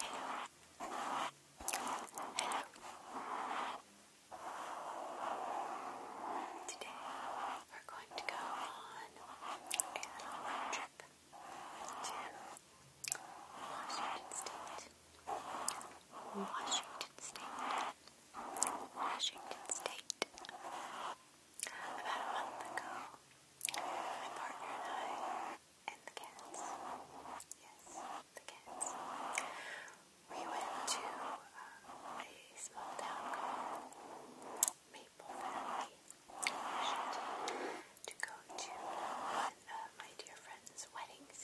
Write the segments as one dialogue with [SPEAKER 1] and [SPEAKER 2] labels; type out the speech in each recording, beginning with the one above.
[SPEAKER 1] Hello. Hello. Today we're going to go on a little trip to Washington State. Washington State. Washington State. About a month ago, my partner and I and the cats. Yes, the cats. We went to uh, a small town called Maple Valley, to go to my dear friend's weddings.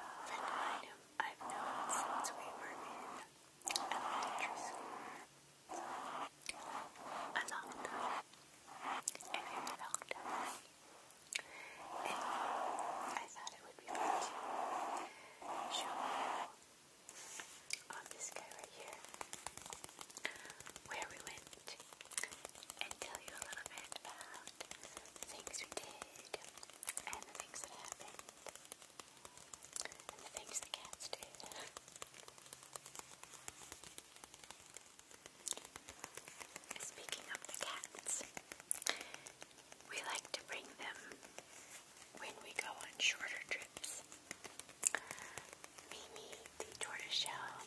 [SPEAKER 1] A friend I've known since we were in elementary school. A long time and I thought it would be fun to show you on this guy right here where we went and tell you a little bit about the things we did and the things that happened and the things the cats did. Speaking of the cats, we like to bring them when we go on shorter trips. Mimi, the tortoiseshell,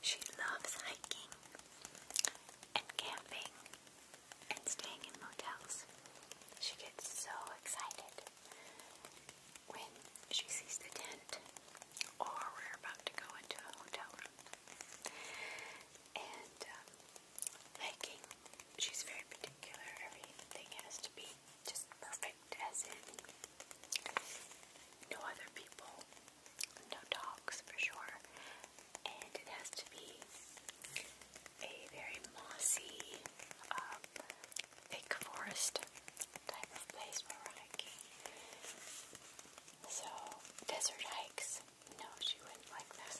[SPEAKER 1] she loves hiking and camping and staying in motels. She gets so excited when she sees the tent, or we're about to go into a hotel And um, hiking, she's very particular. Everything has to be just perfect, as in no other people, no dogs for sure, and it has to be a very mossy, um, big forest type of place where hiking. So, desert hikes, no, she wouldn't like this.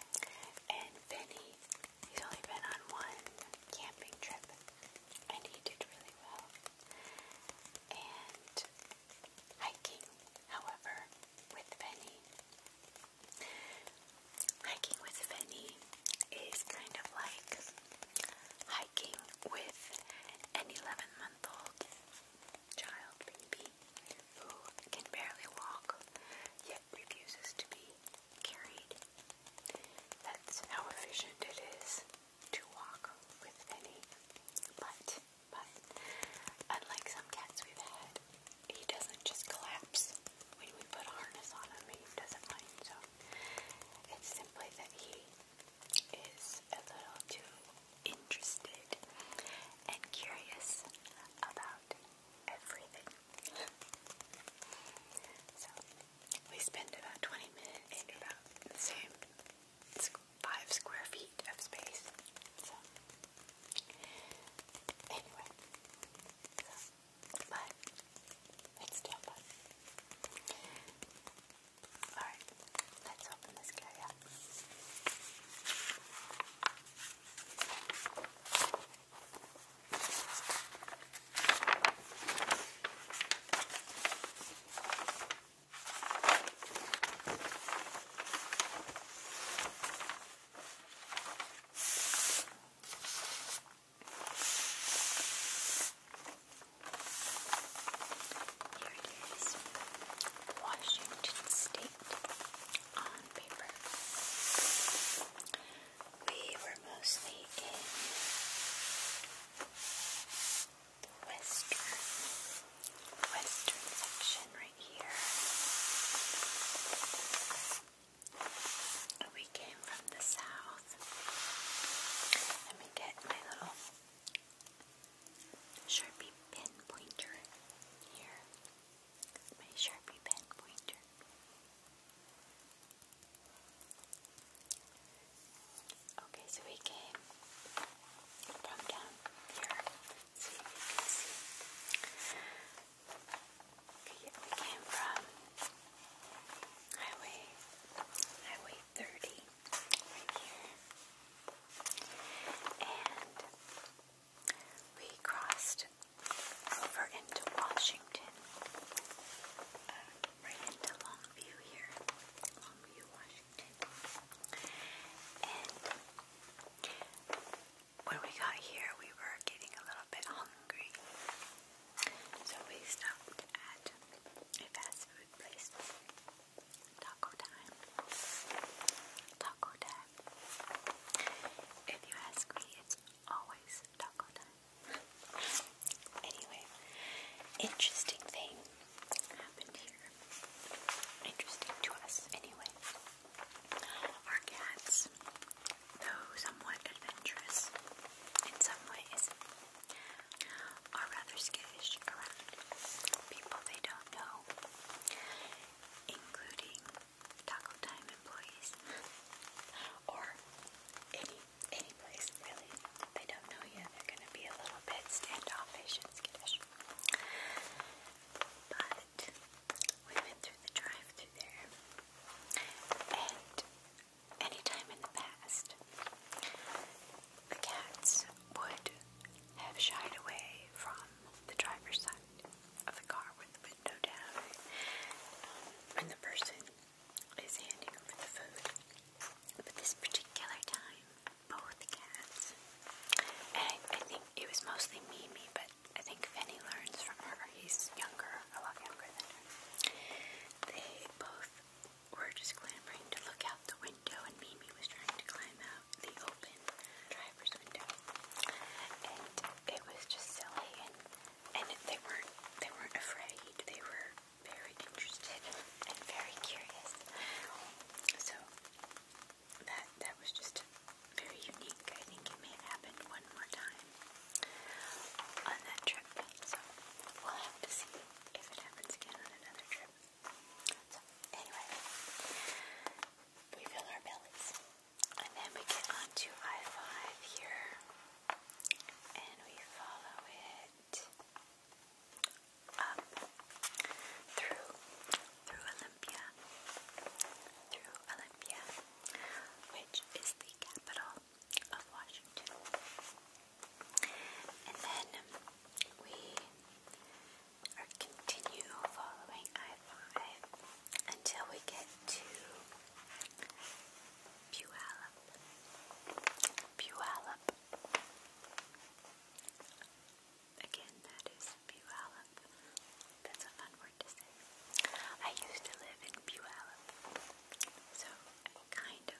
[SPEAKER 1] and Benny, he's only been on one camping trip, and he did really well. And hiking, however, with Benny, hiking with Benny is kind of like hiking with an 11 month old child baby who can barely walk yet refuses to be carried. That's how efficient it is to walk with Vinny. But, but, unlike some cats we've had, he doesn't just collapse when we put a harness on him. He doesn't mind. So, it's simply that he is a little too interested and curious about everything. so we spend about 20 minutes in about the same five square feet of space. So anyway, so, but it's still Alright, let's open this guy up. Here it is. Washington State on paper. We were mostly in the western, western section right here. We came from the south both. Let me get my little Sharpie pen pointer here. My Sharpie pen pointer. Okay, so we came from down here. see if you can see. Okay, we came from highway, highway 30 right here. And we crossed over into Washington, uh, right into Longview here, Longview, Washington. And when we got here, we were getting a little bit hungry. So we stopped at a fast food place. Taco time. Taco time. If you ask me, it's always taco time. anyway, interesting thing happened here. Interesting to us, anyway. Our cats, though somewhat adventurous in some ways, are rather skittish around people they don't know, including taco time employees or any any place really. they don't know you, they're gonna be a little bit standoffish and skittish. But we went through the drive-through there, and any in the past, the cats would have shied away from the driver's side of the car with the window down, um, and the person is handing over the food. But this particular time, both cats, and I, I think it was mostly Mimi, but I think Finny learns from her. He's younger, a lot younger than her. They both we're just clamoring to look out the window, and Mimi was trying to climb out the open driver's window, and it was just silly, and and they weren't they weren't afraid. They were very interested and very curious. So that that was just very unique. I think it may have happened one more time on that trip. So we'll have to see if it happens again on another trip. anyway, we fill our bellies. And then we get onto I-5 here. And we follow it up through, through Olympia. Through Olympia, which is the capital of Washington. And then we continue following i until we get to Puyallup. Puyallup. Again, that is Puyallup. That's a fun word to say. I used to live in Puyallup, so I kind of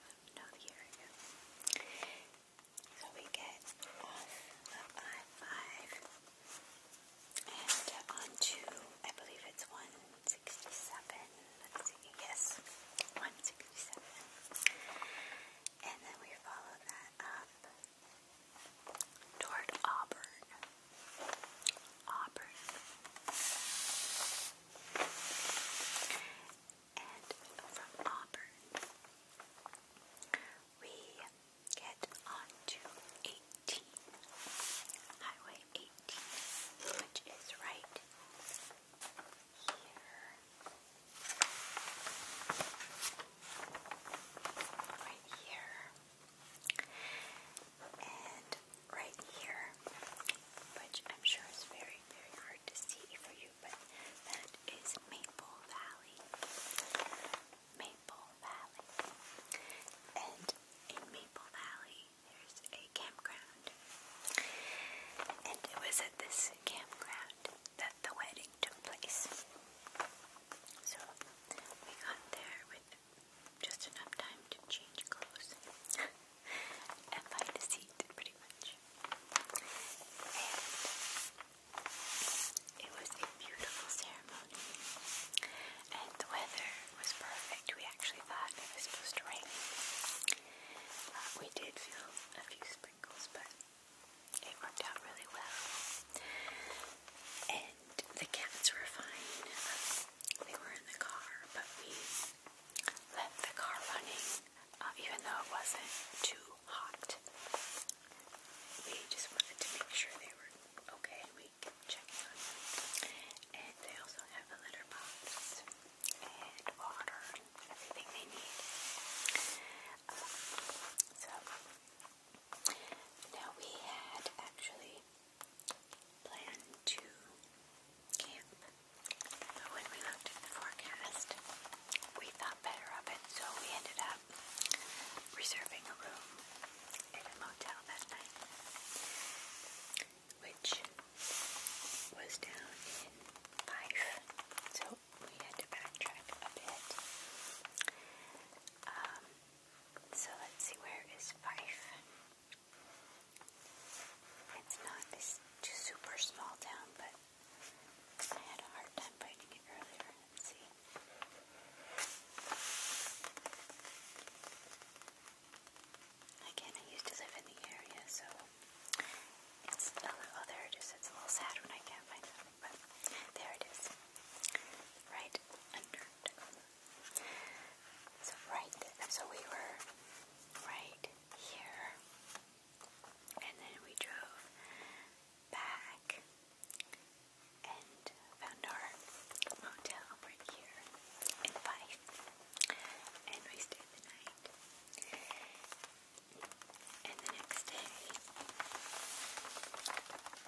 [SPEAKER 1] So we get off 5 and onto, I believe it's 167, let's see, yes, 167. And then we follow that up toward Auburn. Auburn and from Auburn. We get on Highway 18, which is right here. Right here. And right here, which I'm sure is very, very hard to see for you, that is Maple Valley. Maple Valley. And in Maple Valley, there's a campground. And it was at this campground that the wedding took place. So we got there with just enough time to change clothes and find a pretty much. it was a beautiful ceremony. And the weather was perfect. We actually thought it was supposed to rain. Uh, we did feel a few sprinkles, but it worked out really well. And the cats were fine. Um, they were in the car, but we left the car running uh, even though it wasn't too hot. We just wanted to make sure they were okay, and we kept checking on them. And they also have a litter box and water and everything they need. Um, so now we had actually planned to camp when we looked at the forecast, we thought better of it, so we ended up reserving a room in a motel that night, which was down in Fife, so we had to backtrack a bit. Um, so let's see, where is Fife? It's not this super small town, but I had a hard time finding it earlier. see. Again, I used to live in the area, so it's oh, oh there it is. It's a little sad when I can't find it, but there it is. Right under. So right. So we were right here. And then we drove back and found our motel right here in Fife. And we stayed the night. And the next day,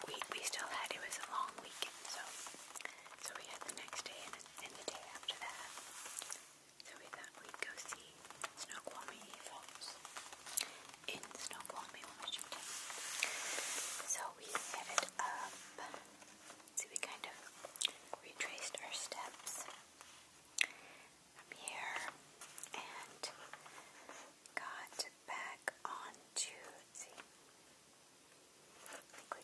[SPEAKER 1] we, we still had, it was a long weekend, so so we had the next day and the day after that so we thought we'd go see Snoqualmie Falls in Snoqualmie, Washington. So we headed up. So we kind of retraced our steps from here and got back onto, let's see, I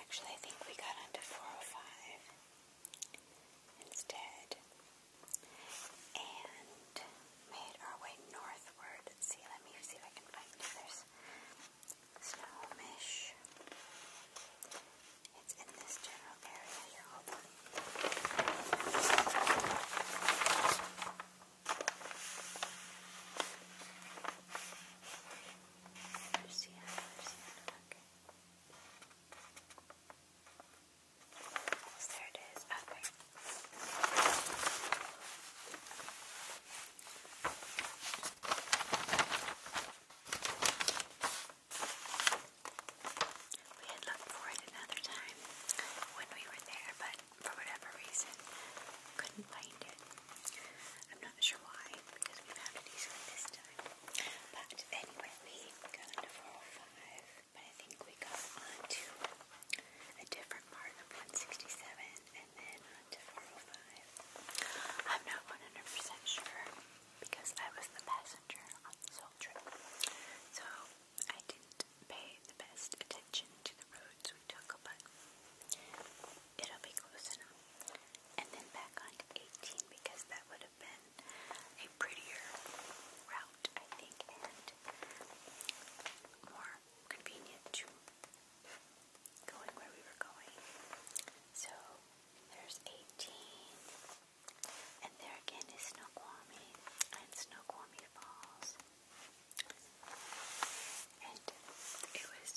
[SPEAKER 1] Actually, I think we got onto 405 instead and made our way northward. see, let me see if I can find it. There's It's in this general area here. Hold on. Luciana, Luciana, okay there it is. We had looked for it another time when we were there, but for whatever reason, couldn't find it not sure why, because we found it easily this time. But anyway, we got into 405, but I think we got onto a different part of 167 and then onto 405. I'm not 100% sure because I was the passenger on this whole trip. So I didn't pay the best attention to the roads we took, but it'll be close enough and then back onto 18 because that would have been a prettier route, I think, and more convenient to going where we were going. So there's 18, and there again is Snoqualmie and Snoqualmie Falls. And it was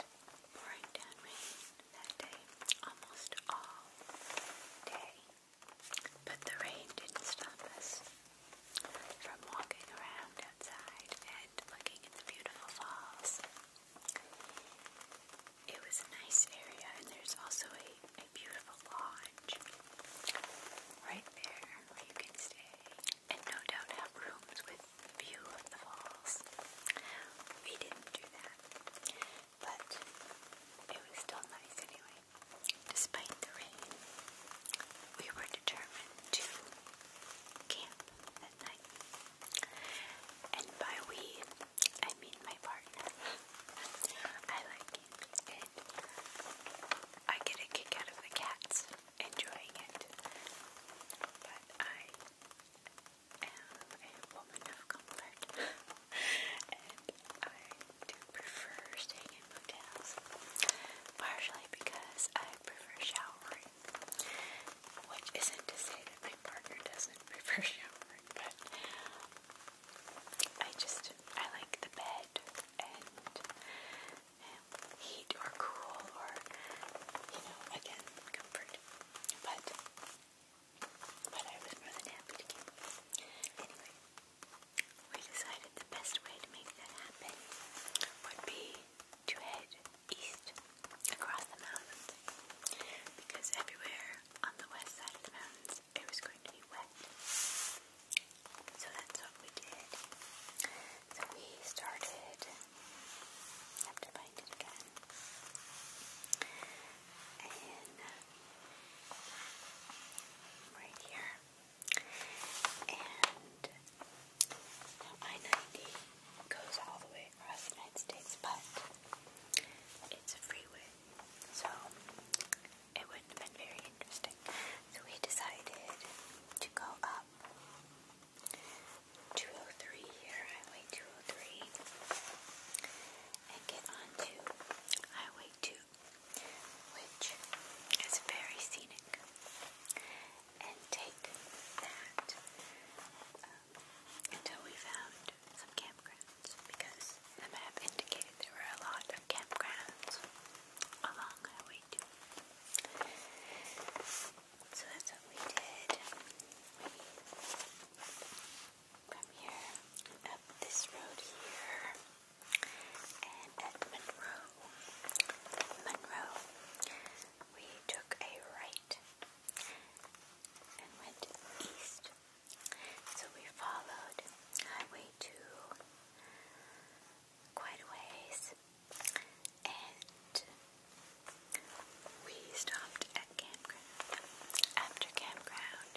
[SPEAKER 1] pouring down rain that day, almost all day. But the rain didn't stop us from walking around outside and looking at the beautiful falls. It was a nice area, and there's also a, beautiful lodge right there where you can stay, and no doubt have rooms with view of the falls. We didn't do that but it was still nice anyway. Despite the rain, we were determined to camp at night. And by we, I mean my partner. I like it, and I get a kick out of the cats enjoying it, but I am a woman of comfort and I do prefer staying in motels, partially because I prefer showering, which isn't to say that my partner doesn't prefer showering, but I just, I like the bed and heat or cool or, you know, again, comfort, but we decided the best way to make that happen would be to head east across the mountains. Because everywhere on the west side of the mountains it was going to be wet. So that's what we did. So we started and right here, and I-90 goes all the way across the United States, but it's a freeway, so it wouldn't have been very interesting. So we decided to go up 203 here, Highway 203, and get onto Highway 2, which is very scenic. And take that um, until we found some campgrounds because the map indicated there were a lot of campgrounds along Highway 2. So that's what we did from here up this road here and at Monroe. Monroe. We took a right and went east. So we followed Highway 2 quite a ways and we stopped at campground after campground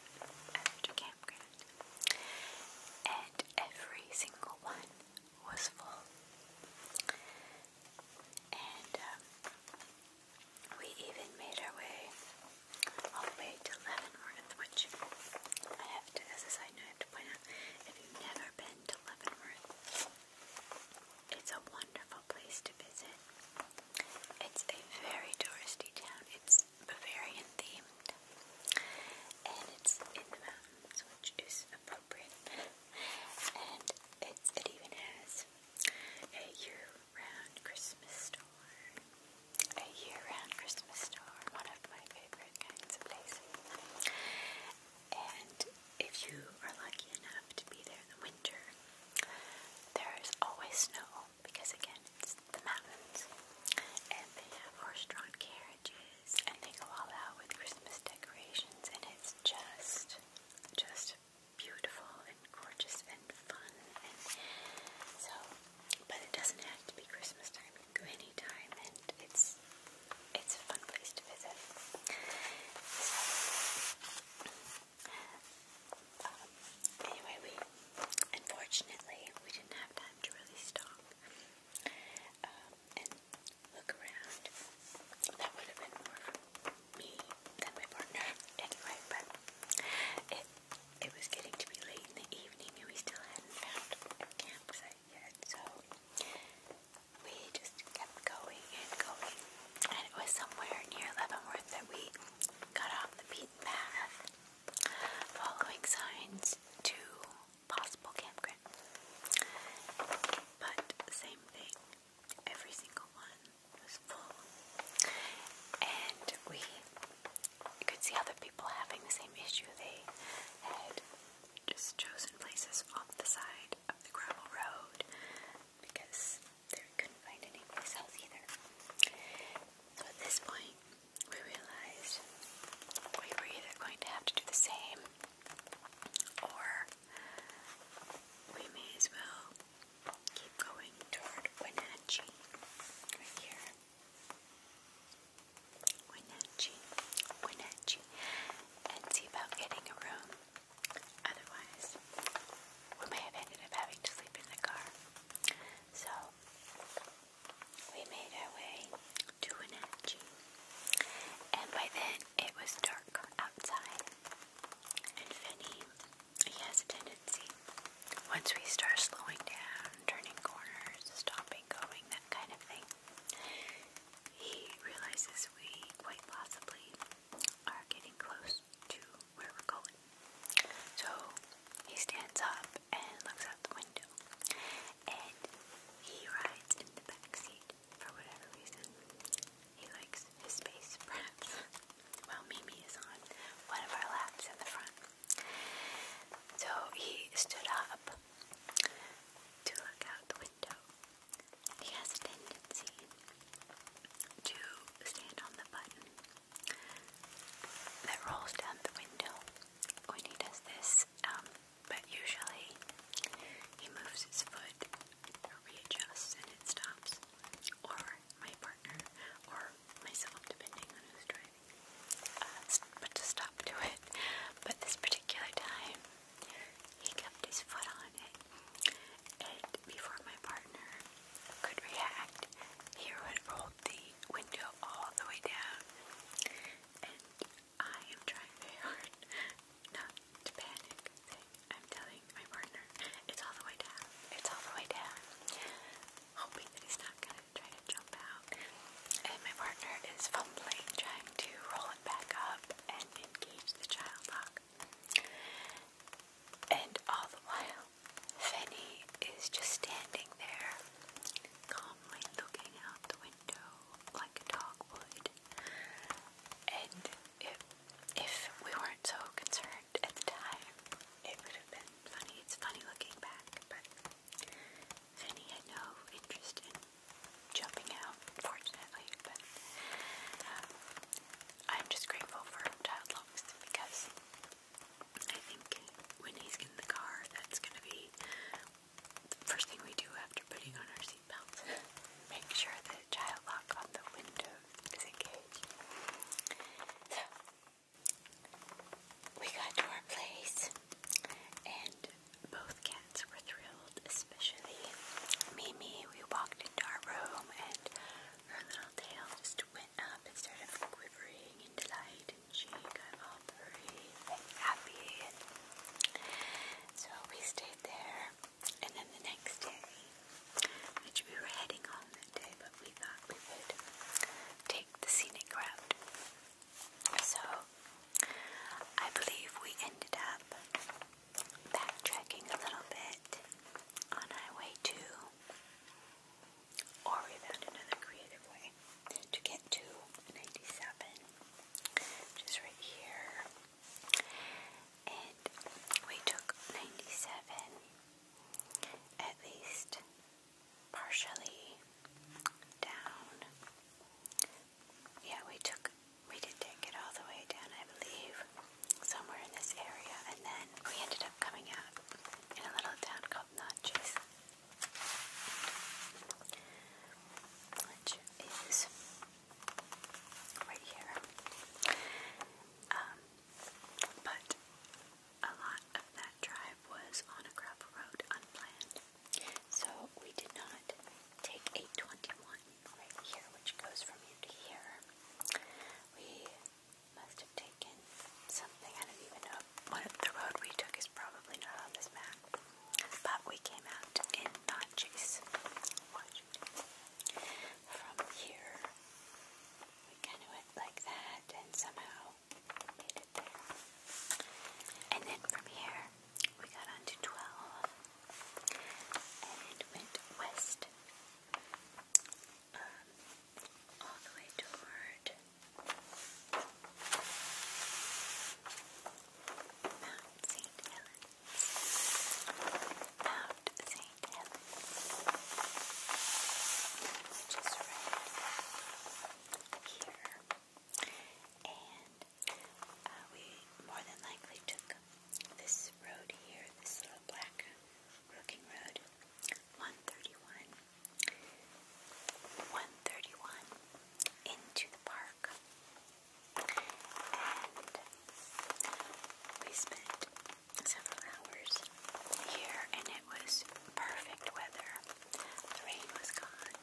[SPEAKER 1] after campground, and every single one was full. And um, we even made our way all the way to Leavenworth, which I have to, as a side I have to point out if you've never been to Leavenworth, it's a wonderful beautiful place to visit. It's a very touristy town. It's Bavarian themed, and it's in the mountains, which is appropriate. and it even has a year-round Christmas store. A year-round Christmas store, one of my favorite kinds of places. And if you are lucky enough to be there in the winter, there is always snow because again, it's the mountains, and they have horse-drawn carriages, and they go all out with Christmas decorations, and it's just, just beautiful and gorgeous and fun, and so. But it doesn't have to be Christmas time; you can go any time, and it's, it's a fun place to visit. Um, anyway, we unfortunately we didn't have time to really stop um, and look around. That would have been more me than my partner anyway, but it it was getting to be late in the evening and we still hadn't found a campsite yet, so we just kept going and going. And it was somewhere near Leavenworth that we got off the beaten path, following signs to possible campground. But same thing, every single one was full, and we could see other people having the same issue. They had just chosen places off the side of the gravel road because there we couldn't find anyplace else either. So at this point, we realized we were either going to have to do the same, or we may as well keep going toward Wenatchee, right here. Wenatchee, Wenatchee, and see about getting a room. Otherwise, we may have ended up having to sleep in the car. So we made our way to Wenatchee, and by then it was dark outside. And Finny, he has a tendency once we start slowing down, turning corners, stopping, going, that kind of thing. He realizes we quite possibly are getting close to where we're going. So he stands up and looks out the window, and he rides in the back seat for whatever reason. He likes his space, perhaps. While Mimi is on one of our laps in the front. So he stood up to look out the window. He has a tendency to stand on the button that rolls down the window when he does this, um, but usually he moves his foot or readjusts and it stops, or my partner, or myself, depending on who's driving, uh, but stop to it. But this particular time, he kept his foot on it and before my partner could react, he would roll the window all the way down. And I am trying very hard not to panic. I'm telling my partner, it's all the way down. It's all the way down. Hoping that he's not gonna try to jump out. And my partner is fumbling, trying to roll it back up and engage the child lock. And all the while, Fanny is just standing there, calmly looking out the window like a dog would. And if, we weren't so concerned at the time, it would have been funny. It's funny looking back, but Fanny had no interest in jumping out, fortunately. But um, I'm just grateful for child lungs because I think when he's in the car, that's gonna be first thing we do after putting on our seatbelts. Make sure the child lock on the window is engaged. So, we got to our place, and both cats were thrilled, especially Mimi. We walked into our room, and her little tail just went up and started quivering in delight and she got all happy. so we stayed there. And then the next day, which we were heading home that day, but we thought we would take the scenic route. So I believe we ended up backtracking a little bit on Highway 2 or we found another creative way to get to 97, which right here. And we took 97, at least partially, down. Yeah, we took, we did take it all the way down, I believe somewhere in this area, and then we ended up coming out in a little town called Natchez, which is right here. Um, but a lot of that drive was on a gravel road, unplanned. So we did not take 821 right here, which goes from here to here. We must have taken something. I don't even know. One of the road we took is probably not on this map. But we came out in Natchez, Washington. From here, we kind of went like that and somehow made it there. And then from here, we got onto 12 and went west um, all the way toward Mount St. Helens. Mount St. Helens, which right here. And uh, we more than likely took this road here, this little black looking road, 131. 131 into the park. And we spent several hours here, and it was perfect weather. The rain was gone,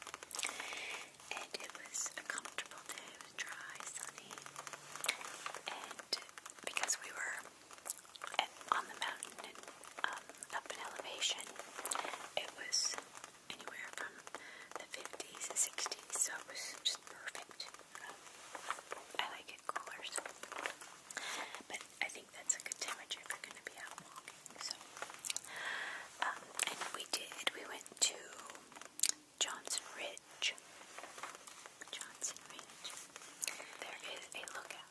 [SPEAKER 1] and it was a comfortable day. It was dry, sunny, and because we were at, on the mountain and um, up in elevation, it was anywhere from the 50s and 60s, so it was just perfect. Um, I like it cooler, so. but I think that's a good temperature if you're going to be out walking. So, um, and we did. We went to Johnson Ridge. Johnson Ridge. There is a lookout.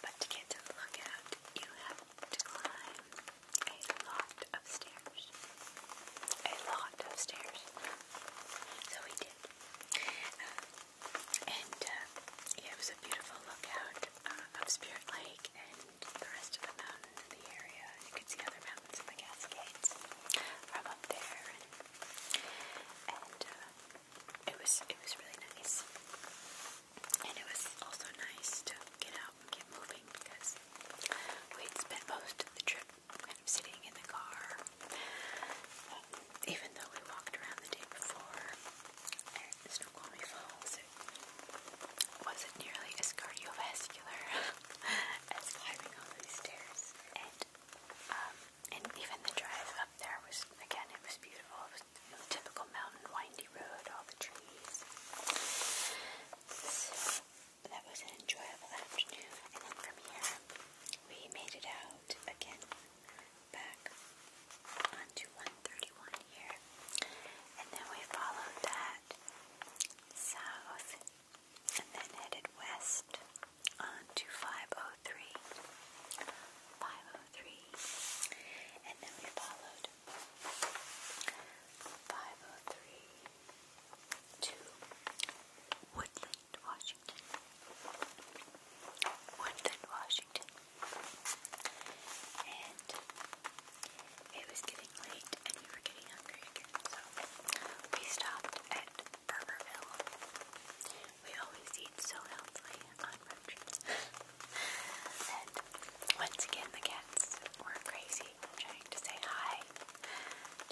[SPEAKER 1] But to get to the lookout, you have to climb a lot of stairs. A lot of stairs. So we did. Um, and uh, it was a beautiful lookout uh, of Spirit Lake and the rest of the mountain and the area. You could see other mountains in the Cascades from up there. And, uh, it was it was really nice. And it was also nice to get out and get moving because we'd spent most of the trip kind of sitting in the car. Even though we walked around the day before at Snoqualmie Falls, wasn't nearly as cardiovascular as climbing all these stairs. And um, and even the drive up there was, again, it was beautiful. typical mountain, windy road, all the trees. So that was an enjoyable afternoon. And then from here, we made it out again back onto 131 here. And then we followed that south and then headed west onto 507. 503, 503, and then we followed 503 to Woodland, Washington. Woodland, Washington. And it was getting late and we were getting hungry again, so we stopped at Burgerville. We always eat so healthily on road trips. and once again, the cats were crazy trying to say hi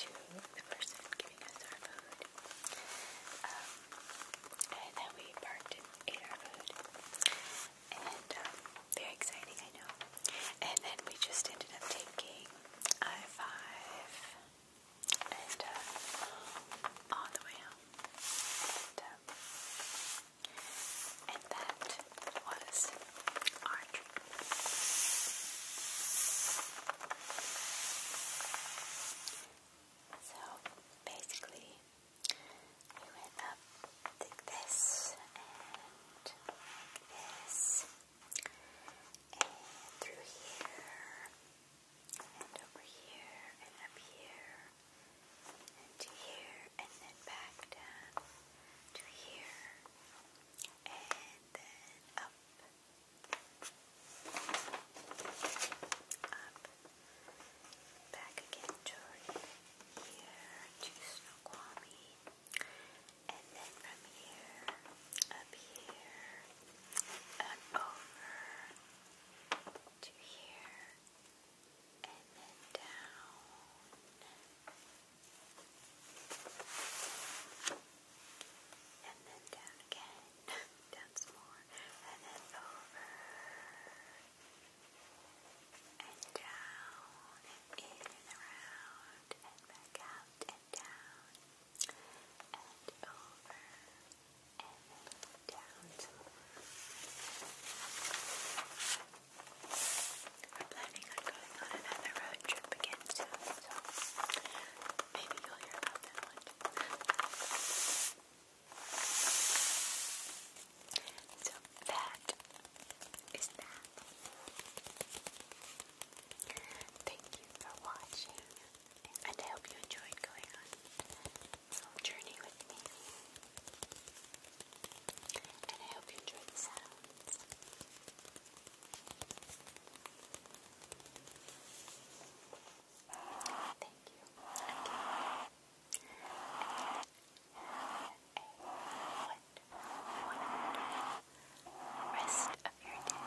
[SPEAKER 1] to the person giving us our food. Um, and then we parked ate our food. And um, very exciting, I know. And then we just ended up taking I-5 and uh, all the way home. Uh, and that was our trip. So basically, we went up like this and like this and through here and over here, and up here, and here, and then back down to here, and then up, up, back again toward here to Snoqualmie, and then from here, up here, and over to here, and then down. And then down again. down some more. And then over. And down. And in and around. And back out and down. And over. And we're planning on going on another road trip again soon, so maybe you'll hear about that one. So that is that. Thank you for watching and I hope you enjoyed going on a little journey with me. And I hope you enjoyed the sounds. Thank you. Okay. And a wonderful rest of your day.